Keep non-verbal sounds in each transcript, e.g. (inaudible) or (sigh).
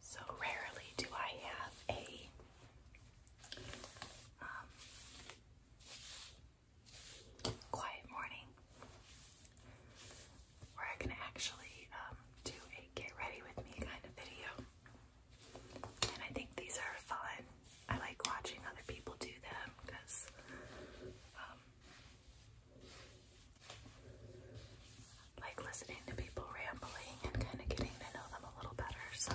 So rarely do I have a um, quiet morning where I can actually um, do a get ready with me kind of video. And I think these are fun. I like watching other people do them because um, like listening to people rambling and kind of getting to know them a little better. So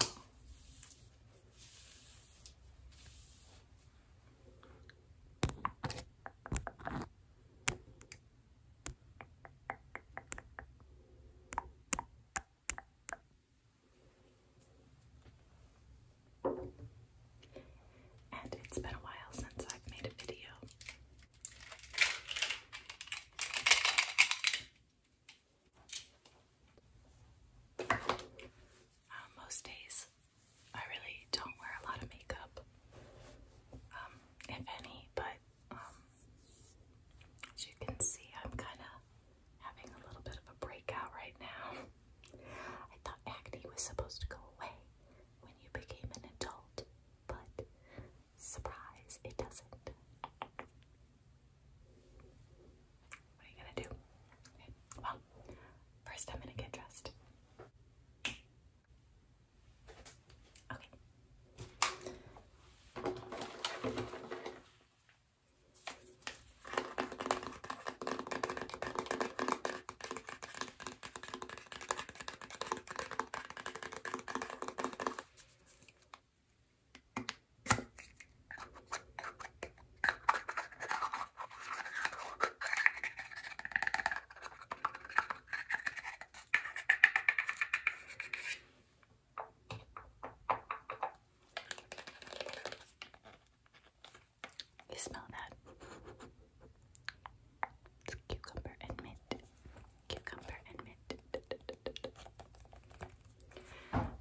and it's been a while since I've made a video. Um, most days, I really don't wear a lot of makeup, um, if any, but um, as you can see, I'm kind of having a little bit of a breakout right now. (laughs) I thought acne was supposed to go away when you became an adult, but surprise, it doesn't. What are you gonna do? Well, first I'm gonna get dressed. Okay. You smell that? It's cucumber and mint cucumber and mint.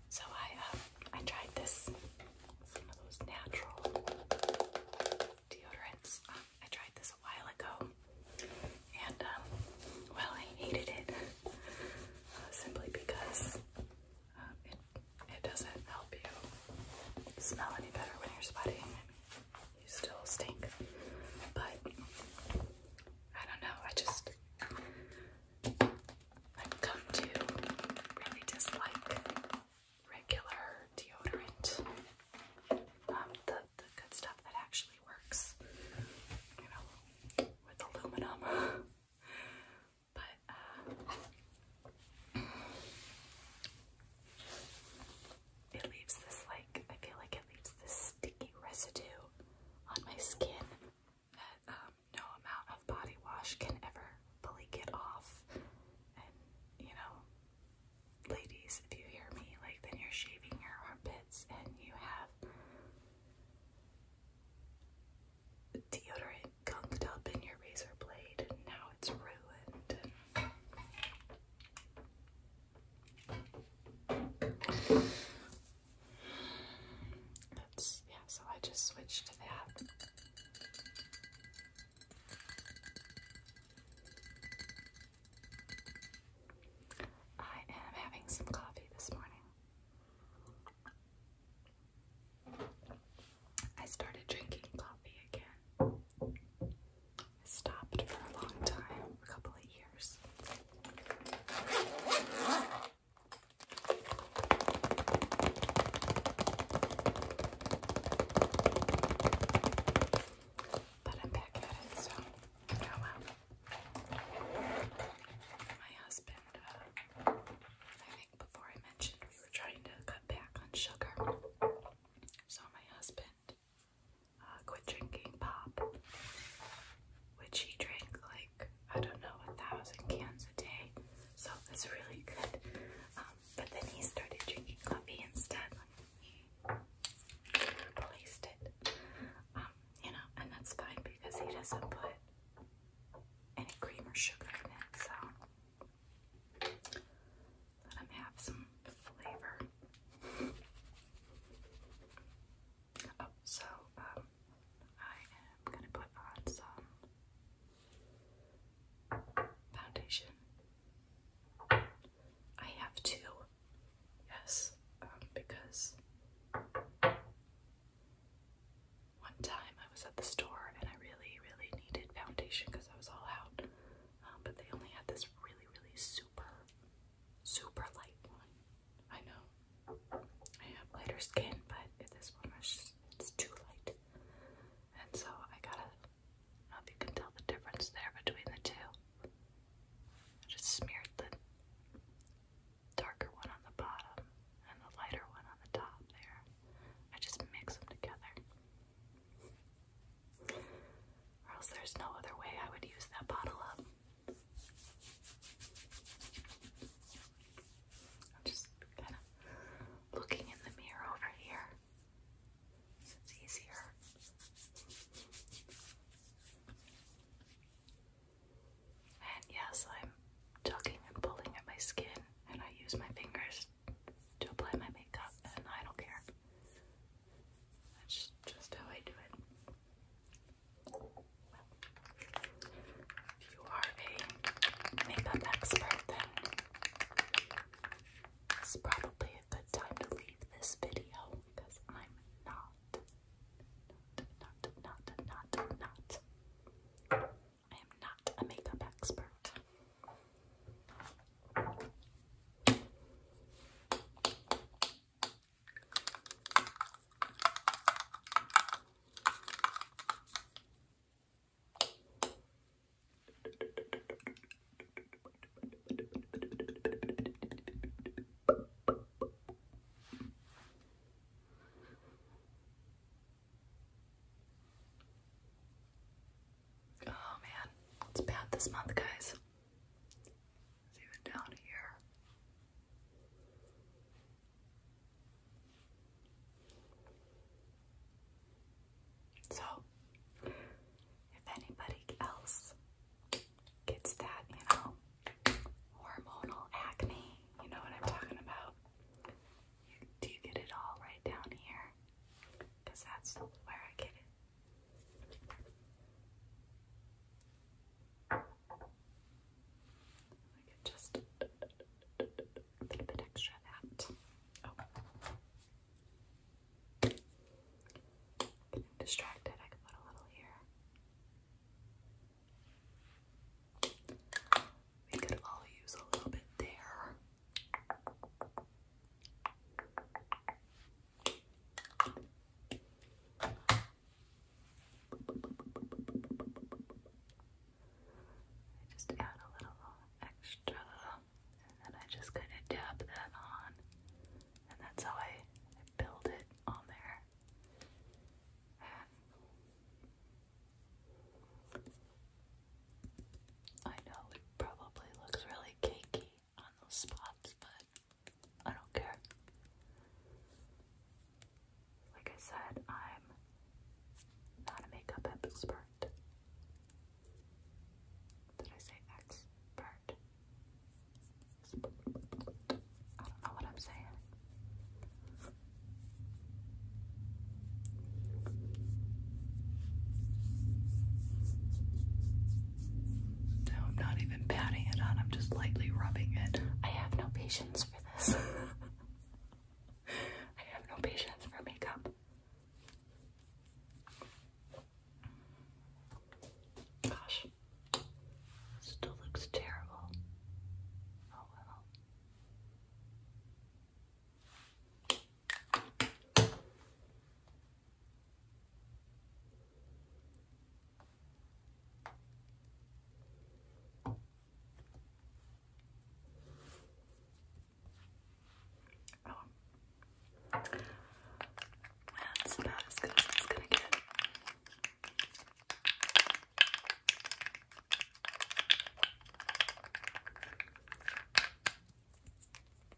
So I um, I tried this some of those natural deodorants. Um, I tried this a while ago, and um, well, I hated it uh, simply because it it doesn't help you smell any better when you're sweating. you still stink, but I don't know, I just I've come to really dislike regular deodorant. Um, the, the good stuff that actually works, you know, with aluminum. but, uh, it leaves this, like, I feel like it leaves this sticky residue on my skin that um, no amount of body wash can ever fully get off. And you know, ladies, if you hear me, like then you're shaving your armpits and you have deodorant gunked up in your razor blade, and now it's ruined yeah, so I just switched to that. I am having some coffee this morning. I started drinking coffee again. I stopped for a long time, a couple of years. But I'm back at it, so oh well. My husband, uh, I think before I mentioned we were trying to cut back on sugar. So my husband uh, quit drinking pop, which he drank like I don't know a thousand cans a day, so that's really good. Um, but then he started drinking coffee instead when replaced it. Um, you know, and that's fine because he doesn't put any cream or sugar in it, so let him have some flavor. Oh, so um, I am gonna put on some foundation. I have two, yes, um, because one time I was at the store and I really, really needed foundation because I was all out, um, but they only had this really, really super super light one. I know I have lighter skin, but this one is it's too light. And so I gotta, I don't know if you can tell the difference there between the two. I just smeared the darker one on the bottom and the lighter one on the top there. I just mix them together. Or else there's no other way I would use that bottle up. I'm just kind of looking in the mirror over here. It's easier. And yes, I'm tugging and pulling at my skin, and I use my fingers to apply my makeup, and I don't care. That's just how I do it. if you are a makeup expert, then it's probably a good time to leave this video because I'm not, not, not, not, not. I am not a makeup expert. Oh man, it's bad this month, guys. It's even down here. So, if anybody else gets that, you know, hormonal acne, you know what I'm talking about? do you get it all right down here? Because that's where I get it. I could just a little bit extra that. Oh. Getting distracted, I could put a little here. We could all use a little bit there. I just add a little extra, and then I just kind of dab that on, and that's how I, build it on there. I know it probably looks really cakey, on those spots, but I don't care. Like I said, I'm not a makeup expert. Did I say expert? I don't know what I'm saying. No, I'm not even patting it on, I'm just lightly rubbing it. I have no patience for this. (laughs) I have no patience for makeup. Gosh, still looks terrible. Oh well. Oh, that's about as good as it's gonna get.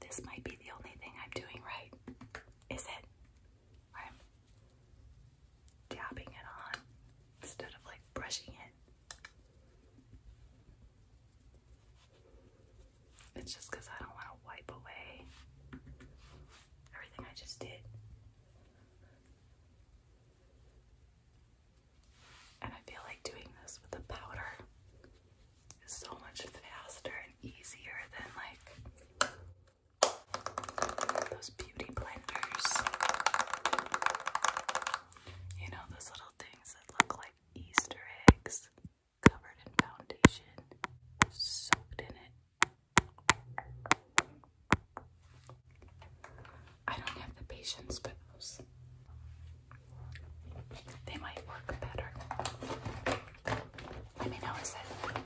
This might be the only thing I'm doing right. Is it? I'm dabbing it on instead of like brushing it. It's just because I don't want to wipe away everything I just did. And I feel like doing this with the powder is so much faster and easier than like those beauty blenders. You know, those little things that look like Easter eggs covered in foundation, soaked in it. I don't have the patience for those. They might work better. I mean, how is it?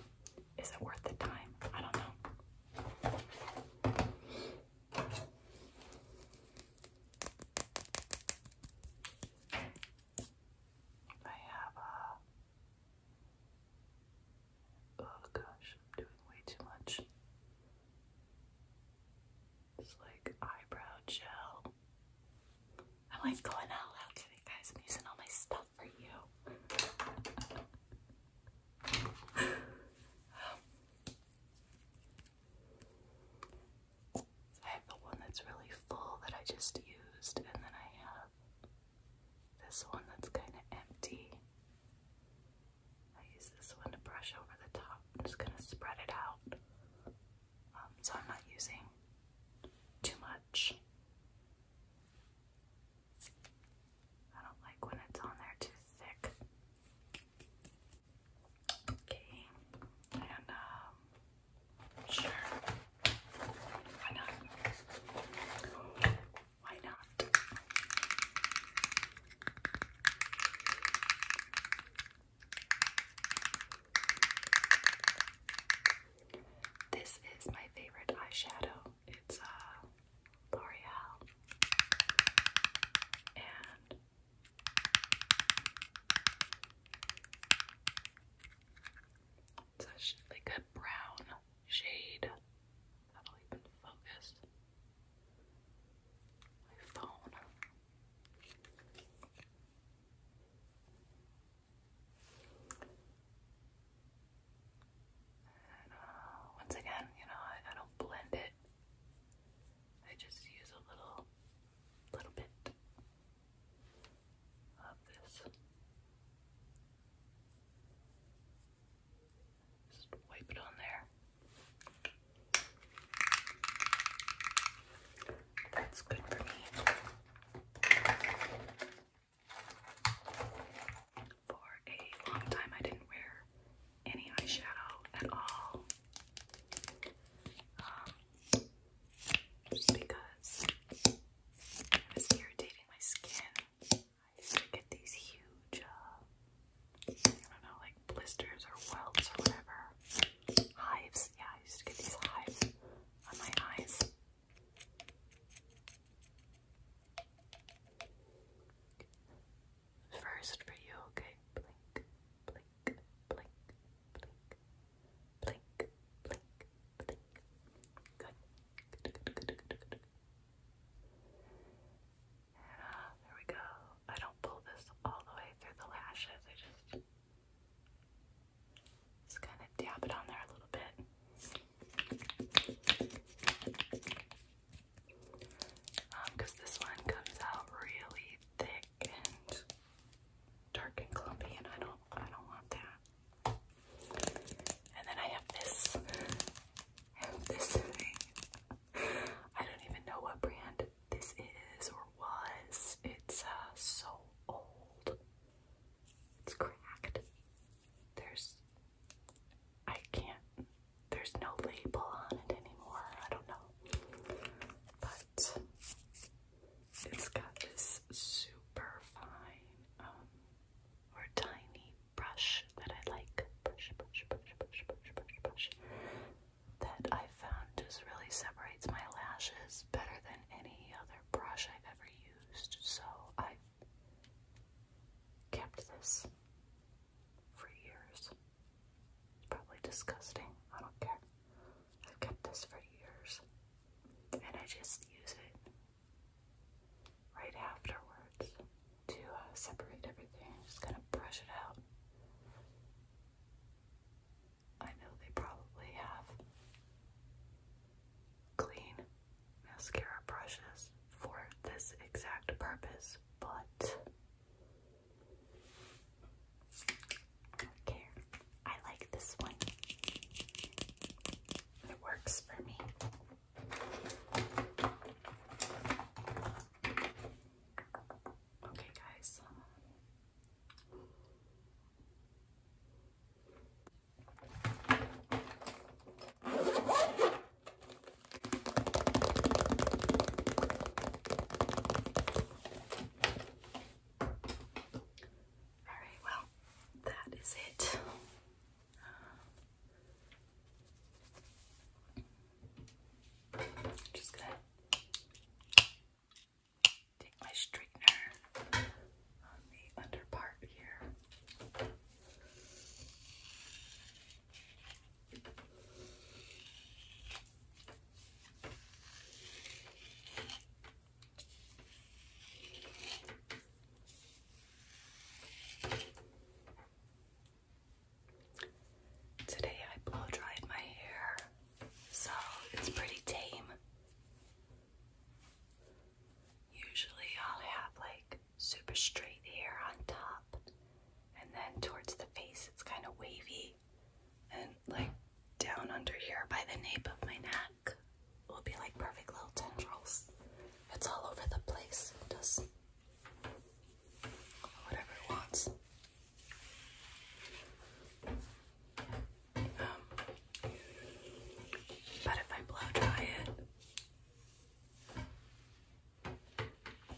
Is it worth the time? I don't know. I have a. Uh, oh gosh, I'm doing way too much. It's like eyebrow gel. I'm like going all out today, guys. I'm using all my stuff for you. I have the one that's really full that I just used, and then I have this one that's kind of empty. I use this one to brush over the top. I'm just gonna spread it out um, so I'm not using too much. I don't like when it's on there too thick. Okay, and um, sure, why not? Why not? This is my favorite eyeshadow. It's uh L'Oreal. And it's like a brown shade. That'll even focus my phone. And once again, you know, I don't blend it. I just use a little, little bit of this. Just wipe it on there. That's good for me. For a long time, I didn't wear any eyeshadow at all. Um, because it was irritating my skin. I used to get these huge uh, I don't know, like blisters or welts or whatever. Hives. Yeah, I used to get these hives on my eyes. First for you, okay? Blink, blink, blink, blink, blink, blink, blink. Good. There we go. I don't pull this all the way through the lashes. I just just kind of dab it on there a little bit. because um, this one comes out really thick and dark and clumpy, and I don't, I don't want that. And then I have this, I don't even know what brand this is or was. It's uh, so old. It's cracked. There's, I can't, there's no label on it anymore. I don't know. But it's got this super fine um, or tiny brush that I like. Brush, brush, brush, brush, brush, brush, brush that I found just really separates my lashes better than any other brush I've ever used. So I've kept this for years. It's probably disgusting. I don't care. I've kept this for years. And I just use it right afterwards to uh, separate everything. just gonna brush it out. I know they probably have clean mascara brushes for this exact purpose, but I I like this one. It works for me. Okay, guys. All right, well, that is it. I'm Just gonna take my straightener on the under part here. Today I blow dried my hair, so it's pretty tame. Usually I'll have like super straight hair on top, and then towards the face it's kind of wavy, and like down under here by the nape of my neck it will be like perfect little tendrils. It's all over the place. It does whatever it wants. Um, but if I blow dry it,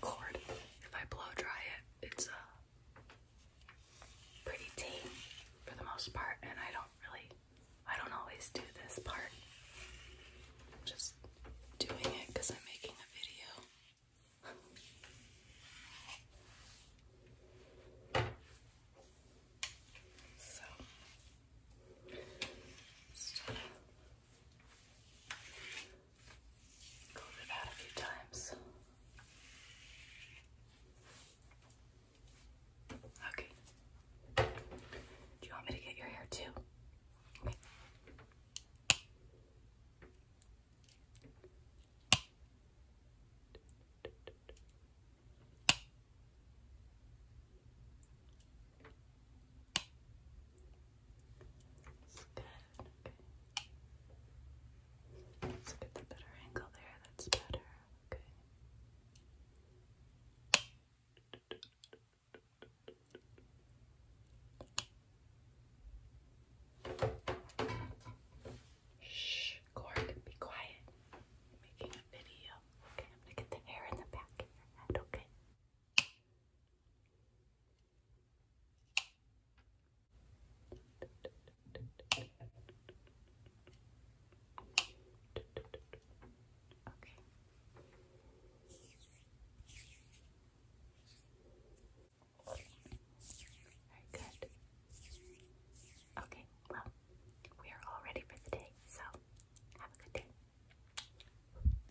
cord, if I blow dry it, it's a uh, pretty tame for the most part, and I don't really, I don't always do this part. I'm just doing it because I'm making a video. so, go over that a few times. Okay. Do you want me to get your hair too? Okay. Let's get the better angle there. That's better. Okay. Shh, Cork, be quiet. making a video. Okay, I'm gonna get the hair in the back Okay, very good. Okay, well, we are all ready for the day, so have a good day.